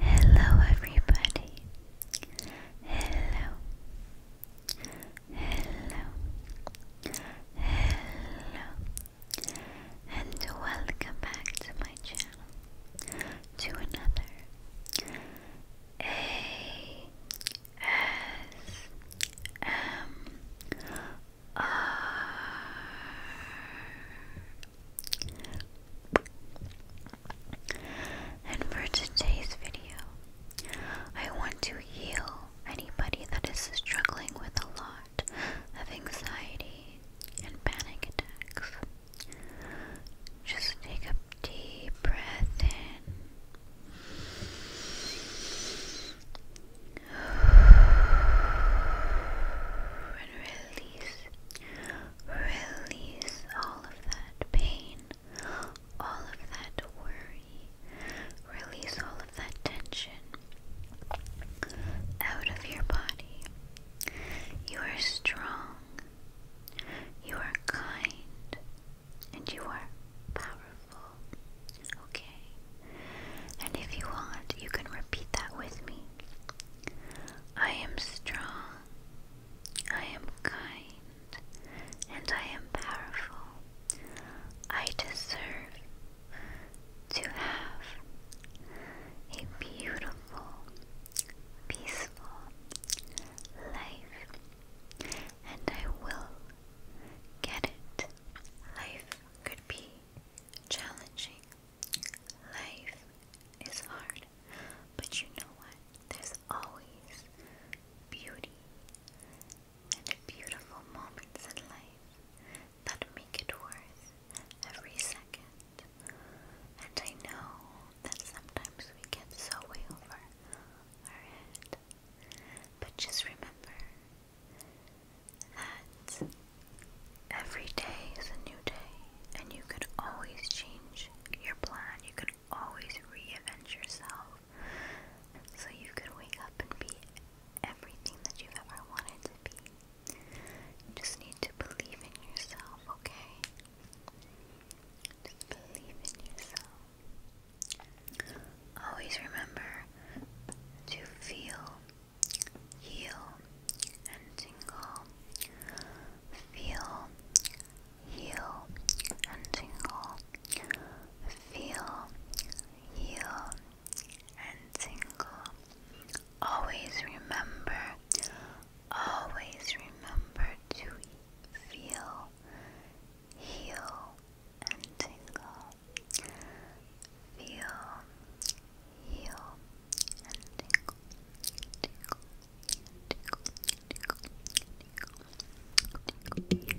Hello, everybody. Hello. Hello. Hello. And welcome back to my channel to another S M R And for today's video, I want to heal anybody that is struggling with a lot of anxiety and panic attacks. Just take a deep breath in and release, release all of that pain, all of that worry, release all of that tension out of your body. You are strong, you are kind, and you are powerful. Okay? And if you want, you can repeat that with me. I am strong, I am kind, and I am powerful. I deserve to have a beautiful, peaceful life and I will get it. Life could be challenging. Life is hard. But you know what? There's always beauty and beautiful moments in life that make it worth every second. And I know that sometimes we get so way over our head but just remember that every day is a new day, and you could always change your plan. You could always reinvent yourself. So you could wake up and be everything that you've ever wanted to be. You just need to believe in yourself, okay? believe in yourself. Always remember to feel, heal, and tingle. Feel, heal, and tingle. Feel, heal, and tingle. Always remember, always remember to feel, heal, and tingle. Feel, heal, and tingle. Tingle, tingle, tingle, tingle, tingle. Tingle, tingle, tingle,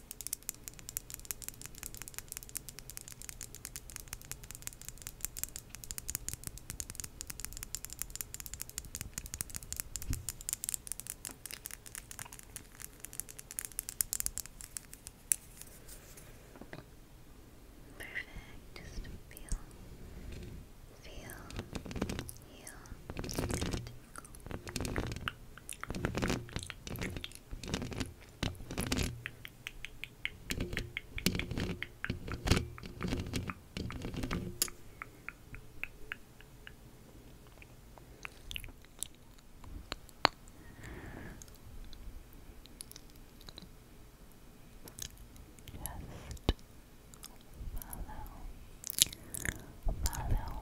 Perfect. Just feel, feel, heal, and just follow, follow,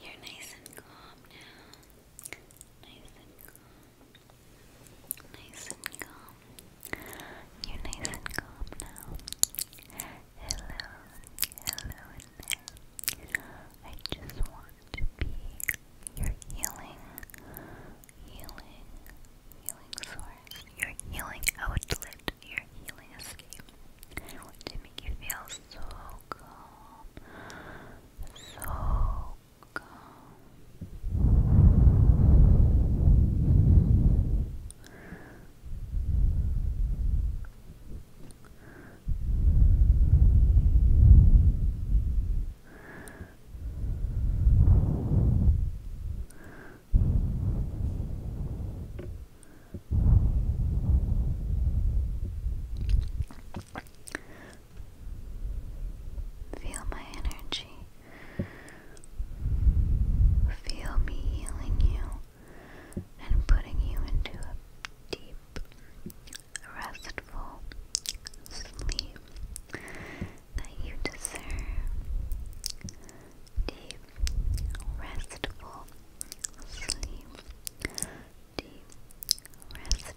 You're nice and calm now. Nice and calm. Nice and calm. You're nice and calm now. Hello, hello in I just want to be your healing, healing, healing source, your healing outlet, your healing escape. to make you feel so calm, so calm. Feel my energy. Feel me healing you and putting you into a deep, restful sleep that you deserve deep, restful sleep, deep, restful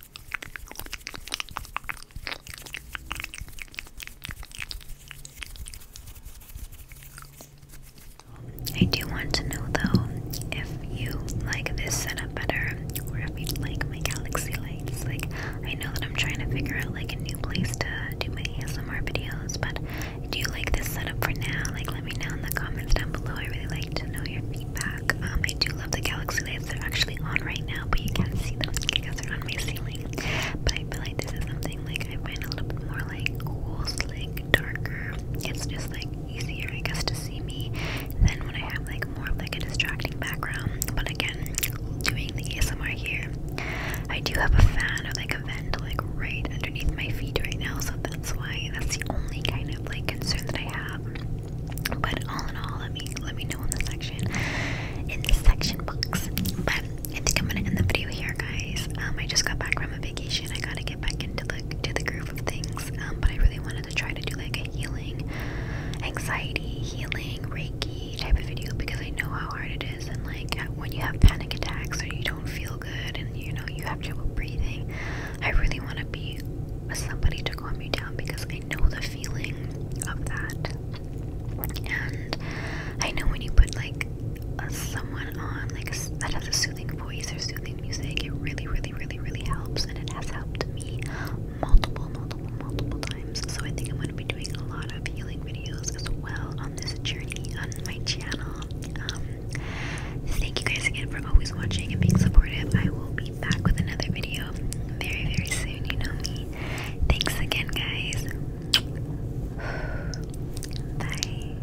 I do want to know though if you like this setup better or if you like my galaxy lights. Like I know that I'm trying to figure out like a new place to do my ASMR videos, but do you like this setup for now? Like let me know in the comments down below. I really like to know your feedback. Um, I do I love the galaxy lights. They're actually on right now, but you can't see them because they're on my ceiling. But I feel like this is something like I find a little bit more like cool, slick, darker. It's just like easier, I guess, to see me than when I have like more of like a distracting background. But again, doing the ASMR here, I do have a fan or like a vent like right underneath my feet right now, so that's why that's the only kind of like concern that I have. But all in all, let me let me know in the section in the section box. But I think I'm gonna end the video here, guys. Um, I just got back from a vacation. I gotta get back into the to the groove of things. Um, but I really wanted to try to do like a healing, anxiety healing, reiki type of video because I know how hard it is. And like uh, when you have panic attacks or you don't feel good and you know you have trouble breathing, I really want to be with somebody to calm me down because I I know the feeling of that. And I know when you put like someone on like that has a soothing voice or soothing music, it really, really, really, really helps, and it has helped me multiple, multiple, multiple times. So I think I'm going to be doing a lot of healing videos as well on this journey on my channel. Um, thank you guys again for always watching and being supportive. I will be back with another video very, very soon. You know me. Thanks again, guys. Bye.